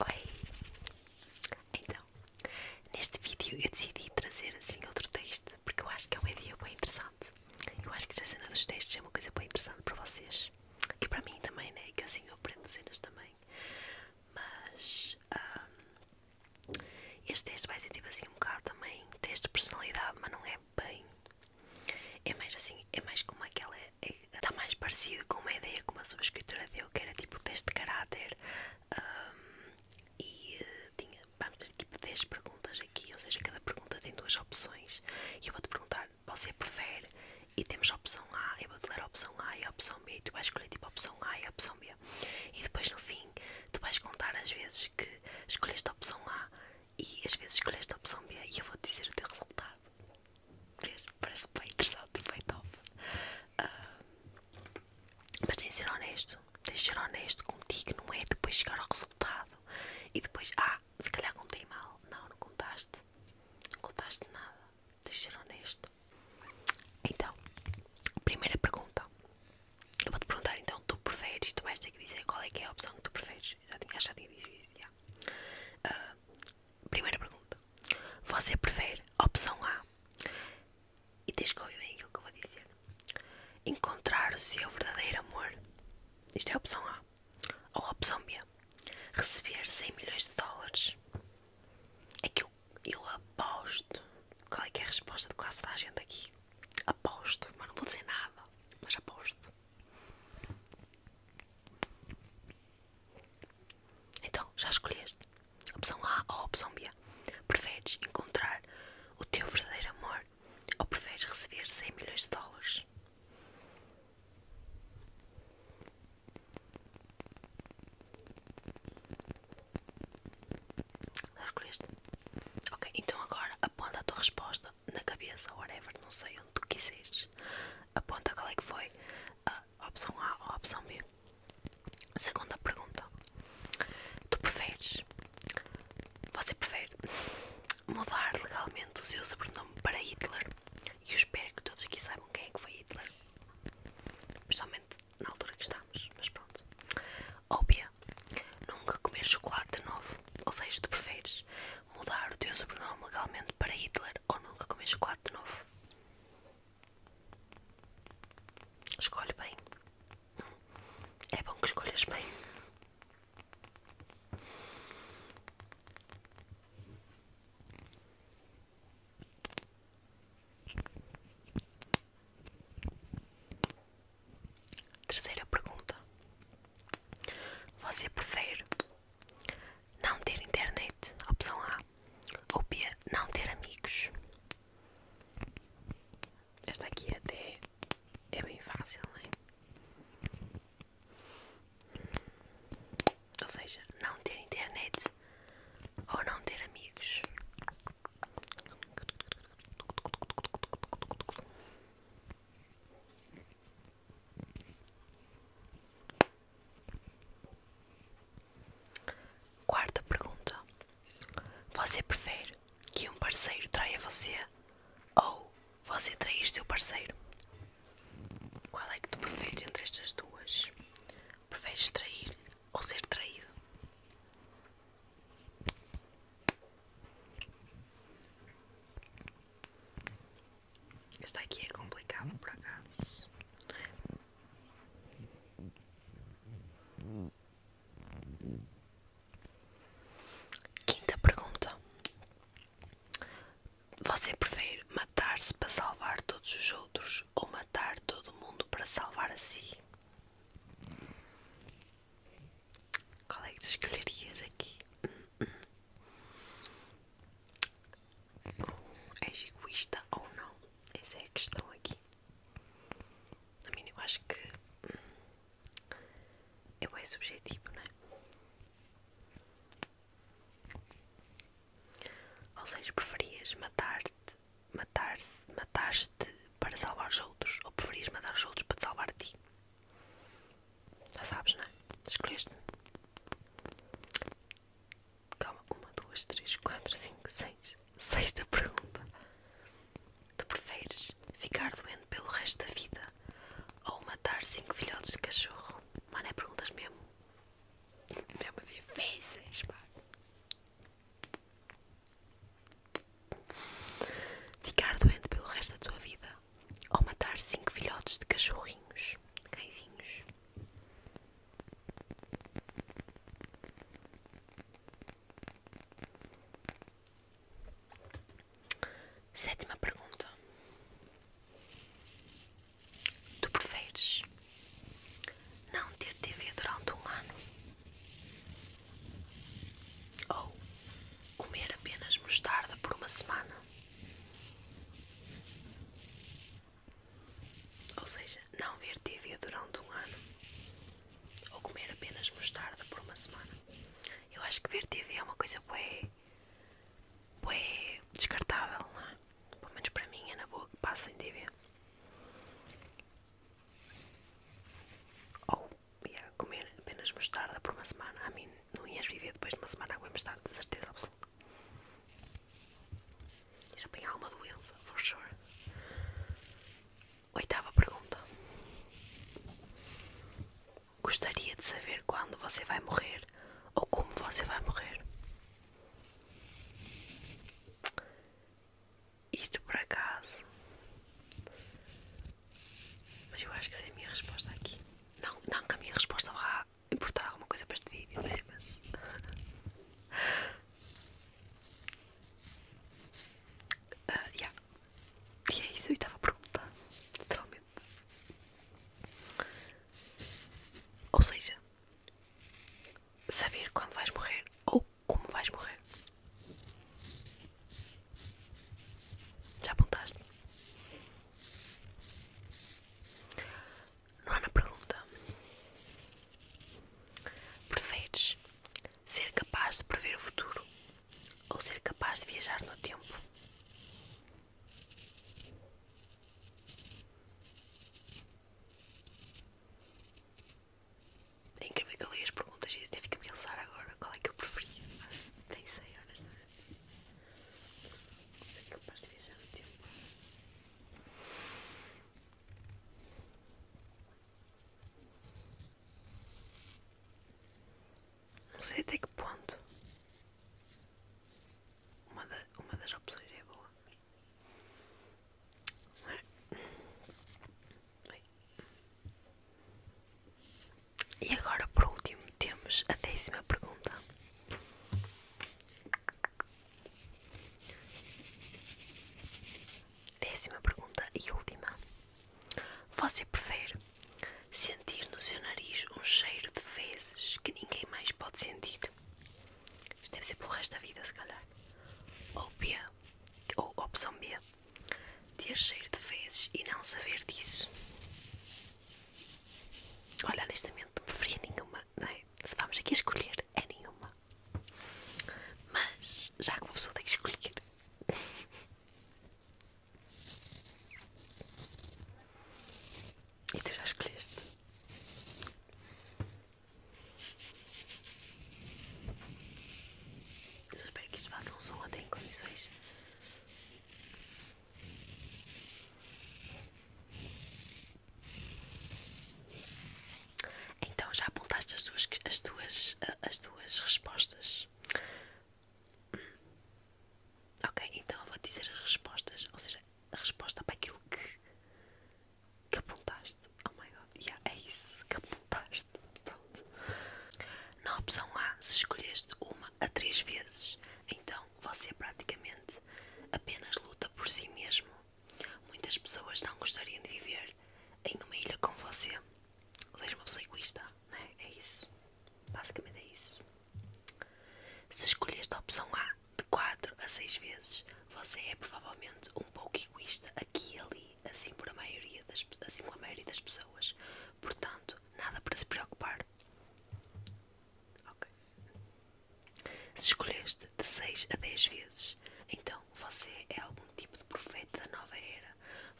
Oi! Então, neste vídeo eu decidi trazer assim outro texto porque eu acho que é uma ideia bem interessante. Eu acho que esta cena dos textos é uma coisa bem interessante para vocês e para mim também, né? Que assim eu aprendo cenas também. Mas hum, este texto vai ser tipo assim um bocado também texto de personalidade, mas não é bem. É mais assim, é mais como aquela está mais parecido com uma ideia que uma subscritora deu, que era tipo o teste de caráter e eh, tinha, vamos ter tipo 10 perguntas aqui, ou seja, cada pergunta tem duas opções e eu vou-te perguntar, você prefere? E temos a opção A, eu vou-te ler a opção A e a opção B, e tu vais escolher tipo a opção A e a opção B e depois no fim tu vais contar as vezes que escolheste a opção A e as vezes escolheste a opção B e eu vou-te dizer o teu resultado Parece bem interessante, bem top. Ah, mas tem de ser honesto, tem de ser honesto contigo, não é? Depois chegar ao resultado e depois, ah, se calhar contei mal. Não, não contaste, não contaste nada. Tem de ser honesto. Então, primeira pergunta. Eu vou-te perguntar então, tu preferes, tu vais ter que dizer qual é que é a opção que tu preferes. Já tinha, já tinha ah, dito isso, primeira pergunta. Você prefere opção A e tens que ouvir bem aquilo que eu vou dizer. Encontrar o seu verdadeiro amor. Isto é a opção A. Ou a opção B. Receber 100 milhões de dólares. É que eu, eu aposto. Qual é que é a resposta de classe da gente aqui? Aposto, mas não vou dizer nada. Mas aposto. Então, já escolheste a opção A ou a opção B? Preferes encontrar o teu verdadeiro amor ou preferes receber 100 milhões de dólares? Já escolheste? Ok, então agora aponta a tua resposta na cabeça, whatever, não sei onde tu quiseres. Aponta qual é que foi a, opção A ou opção B? Segunda pergunta: Tu preferes? Você prefere mudar legalmente o seu sobrenome para Hitler? E eu espero que todos aqui saibam quem é que foi Hitler, especialmente na altura que estamos, mas pronto. Ou B, nunca comer chocolate de novo? Ou seja, tu preferes mudar o teu sobrenome legalmente para Hitler ou nunca comer chocolate de novo? Escolhe bem. É bom que escolhas bem. Terceira pergunta: Você prefere não ter internet, opção A, ou B, não ter amigos. Esta aqui até é bem fácil, não é? Ou seja, não ter internet ou não ter amigos. Quarta pergunta: Você prefere que um parceiro traia você ou você trair seu parceiro? Qual é que tu prefere entre estas duas? Preferes trair ou ser traído? Esta aqui é complicada por acaso. Quinta pergunta: Você prefere matar-se para salvar todos os outros ou matar todo mundo para salvar a si? Qual é que escolherias aqui? és egoísta ou não. Essa é a questão aqui. A mim, eu acho que eu hum, é subjetivo, não é? Ou seja, preferias matar-te, matar-se, matar-te para salvar os outros, ou preferias matar os outros para te salvar a ti? Já sabes, não é? Escolheste. Calma, uma, duas, três, quatro, cinco, seis. Sexta pergunta: Tu preferes ficar doente pelo resto da vida ou matar cinco filhotes de cachorro? Mano, é perguntas mesmo. mesmo difíceis, mano. Ficar doente pelo resto da tua vida ou matar cinco filhotes de cachorrinhos? Cãezinhos. Sétima pergunta: Tu preferes não ter TV durante um ano ou comer apenas mostarda por uma semana? Ou seja, não ver TV durante um ano ou comer apenas mostarda por uma semana. Eu acho que ver TV é uma coisa bué, bué descartável, não é? Pelo menos para mim é na boa que passem TV. Ou comer apenas mostarda por uma semana. A mim não ias viver depois de uma semana a comer mostarda, de certeza absoluta. Isto apanhar uma doença, for sure. Oitava pergunta: Gostaria de saber quando você vai morrer ou como você vai morrer? Isto por acaso. Mas eu acho que é a minha resposta aqui. Não, não que a minha resposta vá importar alguma coisa para este vídeo, né? Mas. Ah, yeah. E é isso, eu estava a perguntar, literalmente. Ou seja, saber quando vais morrer ou como vais morrer. Já apontaste? Nona pergunta: Preferes ser capaz de prever o futuro ou ser capaz de viajar no tempo? É incrível que eu li as perguntas e até fico a pensar agora qual é que eu preferi. Nem sei, honestamente. Ser capaz de viajar no tempo. Não sei até que ponto uma, da, uma das opções é boa. E agora, por último, temos a décima pergunta. Décima pergunta e última. Você prefere sentir no seu nariz um cheiro de fezes que ninguém mais pode sentir? Isto deve ser pelo resto da vida, se calhar. Ou B, ou opção B, ter cheiro de fezes e não saber disso. Olha, honestamente, não preferia nenhuma não é? Se vamos aqui escolher, é nenhuma. Mas já que uma pessoa tem que escolher. e tu já escolheste? Eu espero que isto faça um som até em condições. Então já apontaste as tuas, as tuas, eh, as tuas respostas? Ok, então eu vou dizer as respostas, ou seja, a resposta para aquilo que, que apontaste. Oh my god, yeah, é isso que apontaste. Pronto. Na opção A, se escolheste uma a três vezes, então você praticamente apenas luta por si mesmo Muitas pessoas não gostariam de viver em uma ilha com você. Seja uma pessoa egoísta, né? É isso. Basicamente é isso. Se escolheste a opção A de 4 a 6 vezes, você é provavelmente um pouco egoísta aqui e ali, assim, por a maioria das, assim com a maioria das pessoas. Portanto, nada para se preocupar. Ok. Se escolheste de 6 a 10 vezes, então você é algum tipo de profeta da nova era.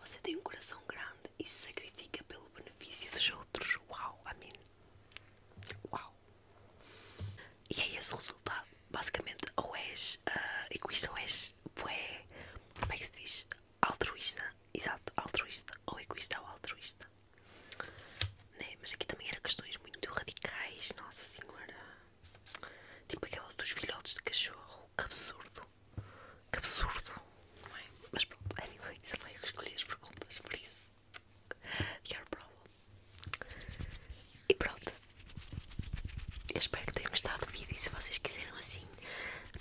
Você tem um coração grande e se sacrifica pelo benefício dos outros. Uau, amém. Uau. E é esse o resultado. Basicamente, ou és ah, egoísta ou és. como é que se diz? Altruísta. Exato, altruísta. Ou egoísta ou altruísta. Né? Mas aqui também eram questões muito radicais. Nossa Senhora. Tipo aquela dos filhotes de cachorro. Que absurdo. Que absurdo. Não é? Mas pronto, anyway, também eu escolhi as perguntas, por isso. Your problem. E pronto. Eu espero que tenham gostado do vídeo e se vocês quiserem assim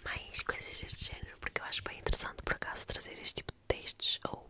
mais coisas deste género, porque eu acho bem interessante por acaso trazer este tipo de textos ou